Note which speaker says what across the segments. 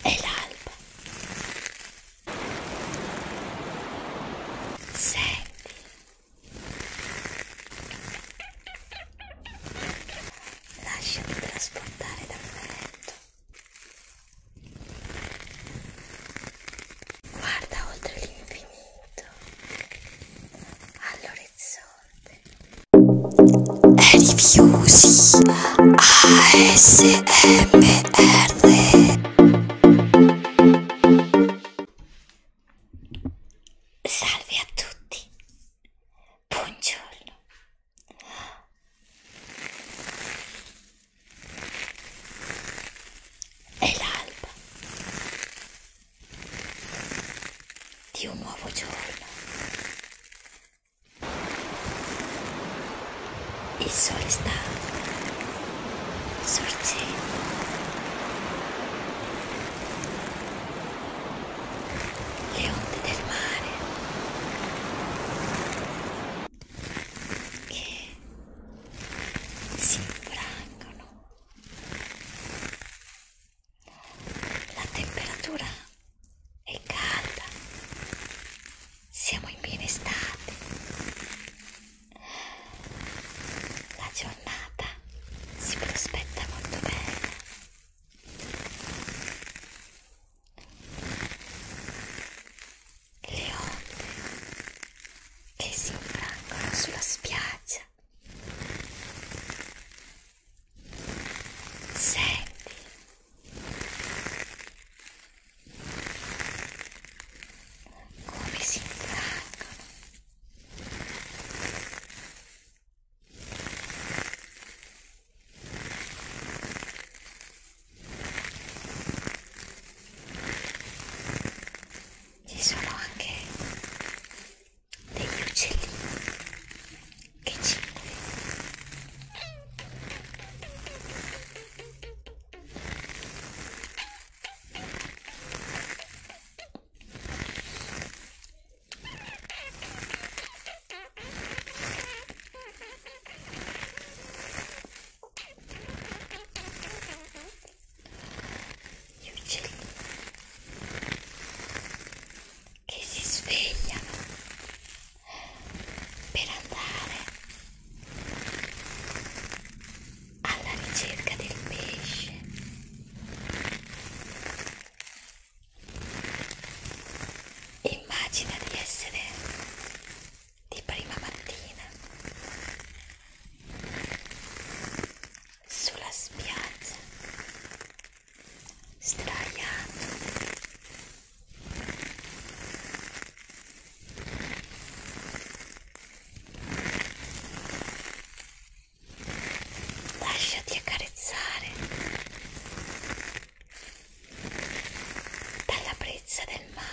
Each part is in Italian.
Speaker 1: È l'alba. Senti. Lasciami trasportare dal vento. Guarda oltre l'infinito all'orizzonte. Rifiusi ASMR Salve a tutti, buongiorno È l'alba di un nuovo giorno il sole sta sorgendo. Le onde del mare che si infrangono. La temperatura è calda siamo in piena estate la giornata si prospetta molto bene le onde che si infrangono sulla spiaggia senti come si infrangono ci sono anche degli uccellini che ci gli uccelli che si svegliano per andare alla ricerca del pesce. Immagina di essere di prima mattina sulla spiaggia sdraiato lasciati accarezzare dalla brezza del mare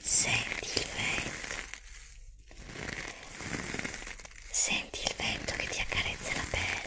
Speaker 1: Senti il vento, senti il vento che ti accarezza la pelle.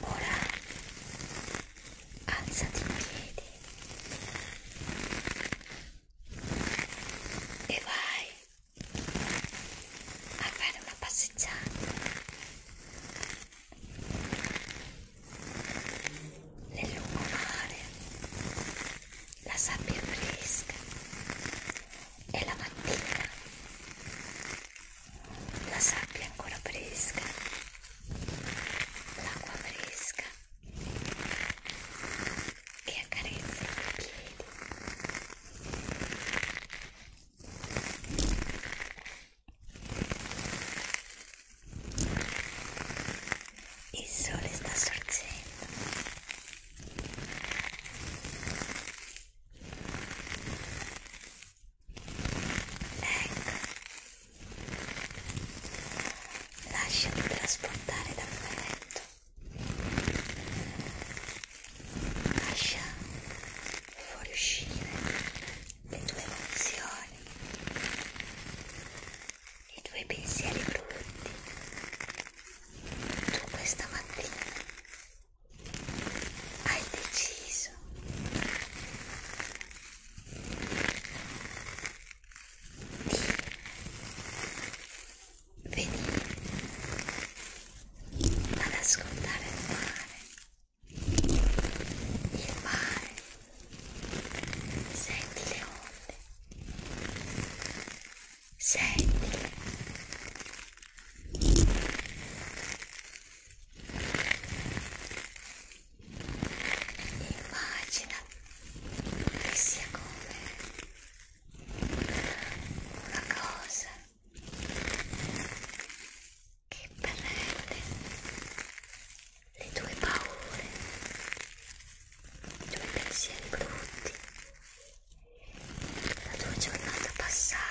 Speaker 1: Ora alzati in piedi e vai a fare una passeggiata nel lungomare. La sabbia fresca e la mattina la sabbia ancora fresca, l'acqua fresca e accarezza i piedi. Il sole sta sorgendo. Ecco. Lasciati trasportare dal vento. Lascia fuoriuscire le tue emozioni, i tuoi pensieri brutti. Tu questa mattina hai deciso di venire ad ascoltare il mare il mare senti le onde senti Immagina che sia come una cosa che prende le tue paure, i tuoi pensieri brutti, la tua giornata passata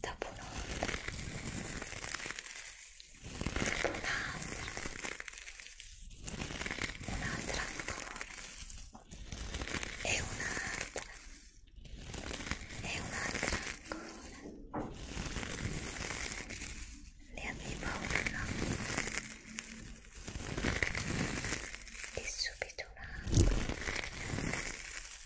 Speaker 1: dopo un'ora dopo un'altra un'altra ancora e un'altra e un'altra ancora ne avevo una e subito un'altra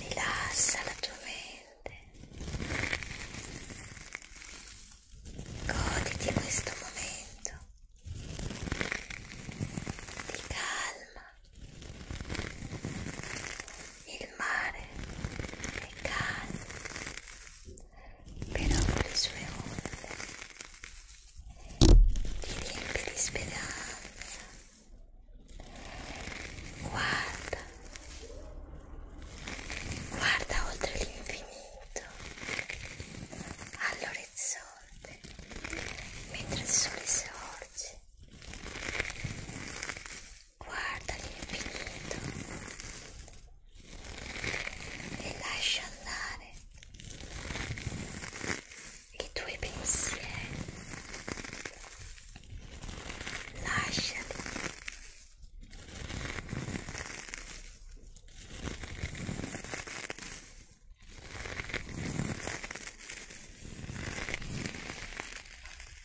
Speaker 1: Rilassa la tua mente. Goditi questo momento di calma il mare è calmo, però con le sue onde ti riempie di speranza. Guarda, guarda oltre l'infinito, all'orizzonte, mentre il sole sorge guarda l'infinito e lascia andare i tuoi pensieri lasciati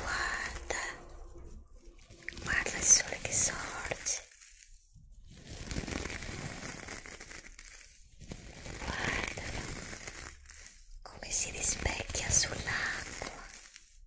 Speaker 1: Guarda, guarda il sole che sorge. Guardalo come si rispecchia sull'acqua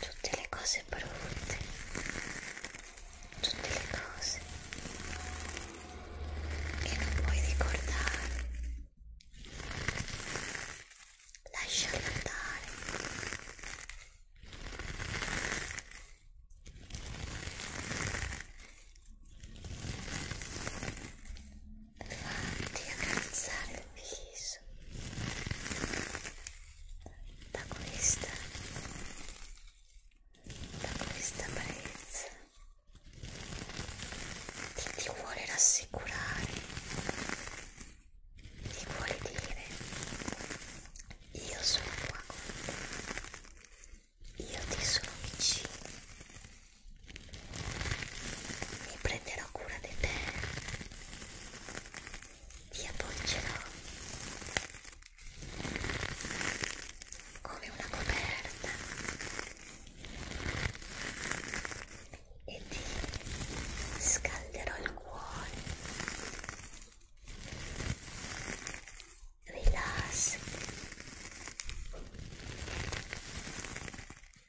Speaker 1: tutte le cose brutte, tutte le cose che non puoi ricordare, lasciarle andare farti accarezzare il viso da questa da questa brezza che ti vuole rassicurare ti vuole dire io sono qua con te io ti sono vicino mi prenderò prenderò cura di te ti appoggerò come una coperta e ti scalderò il cuore rilassati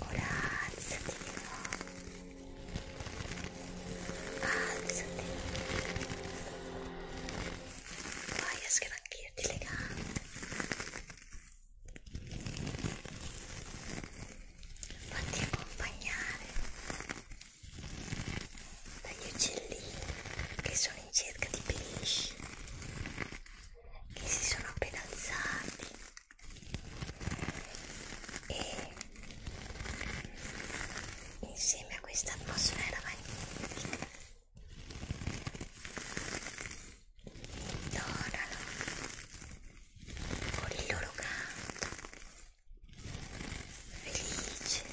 Speaker 1: Ora alzati di nuovo. Alzati. Vai a sgranchirti le gambe. Fatti accompagnare dagli uccellini che sono in cerca di pesci che si sono appena alzati e insieme a questa atmosfera magnifica intonano con il loro canto felice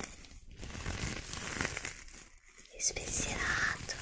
Speaker 1: e spensierato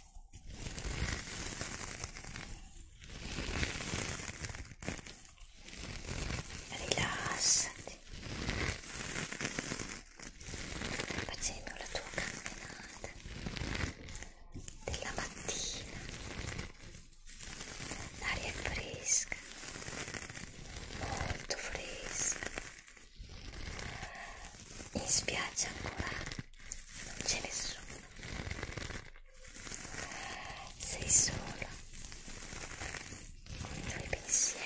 Speaker 1: rilassati facendo la tua camminata della mattina l'aria è fresca molto fresca in spiaggia ancora non c'è nessuno sei sola con i tuoi pensieri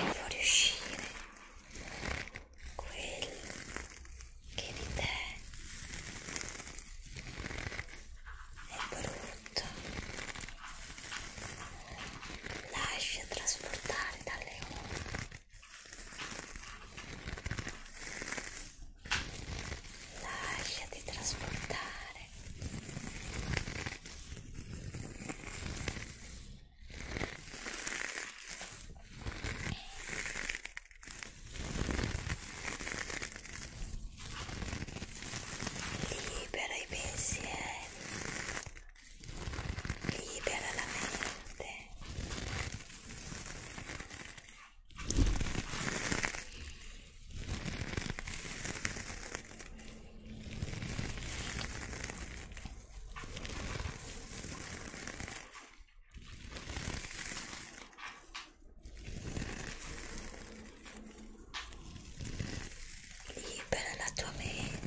Speaker 1: il fuoriuscire quel che di te è brutto lascia trasportare dalle onde lasciati trasportare libera i pensieri libera la mente libera la tua mente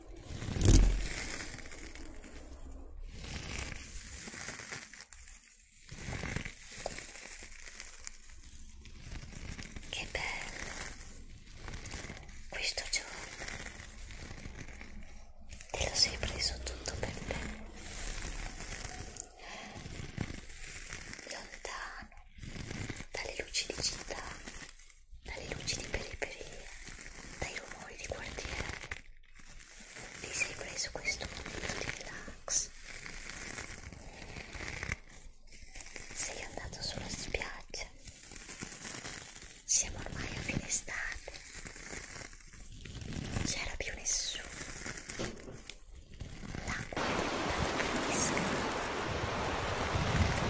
Speaker 1: Che bello questo giorno. Te lo sei preso tutto per te. Lontano dalle luci di città dalle luci di periferia, dai rumori di quartiere. Ti sei preso questo momento di relax. Sei andato sulla spiaggia. Siamo ormai a fine estate. Non c'era più nessuno. L'acqua è diventata fresca vi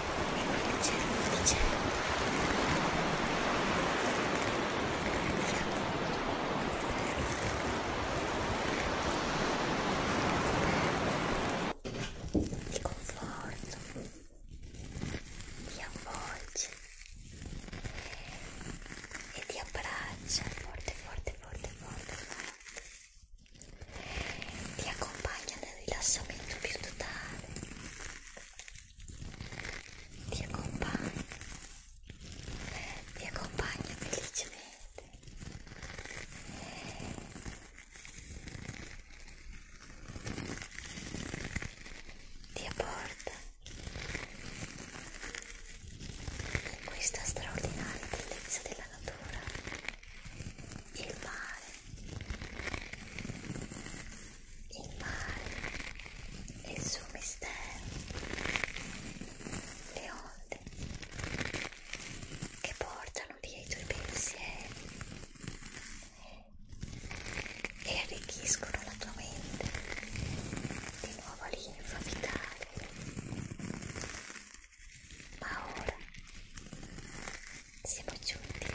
Speaker 1: conforto, vi avvolge e ti abbraccia forte, forte, forte, forte, forte. Ti accompagna nel rilassamento più totale ti accompagno, ti accompagno felicemente. Ti apporta questa straordinaria bellezza della natura, il mare, il mare e il suo mistero, le onde che portano via i tuoi pensieri e arricchiscono la tua mente di nuova linfa vitale. Ma ora siamo giunti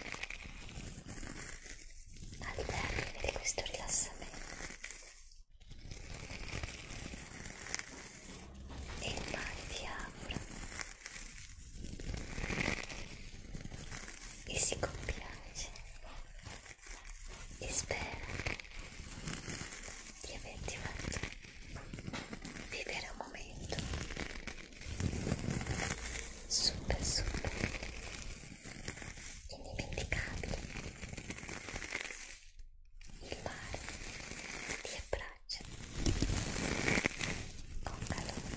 Speaker 1: al termine di questo rilassamento e infatti ti auguro e si compiace e spero di averti fatto vivere un momento super super indimenticabile il mare ti abbraccia con calore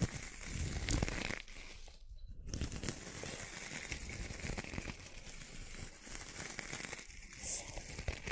Speaker 1: sempre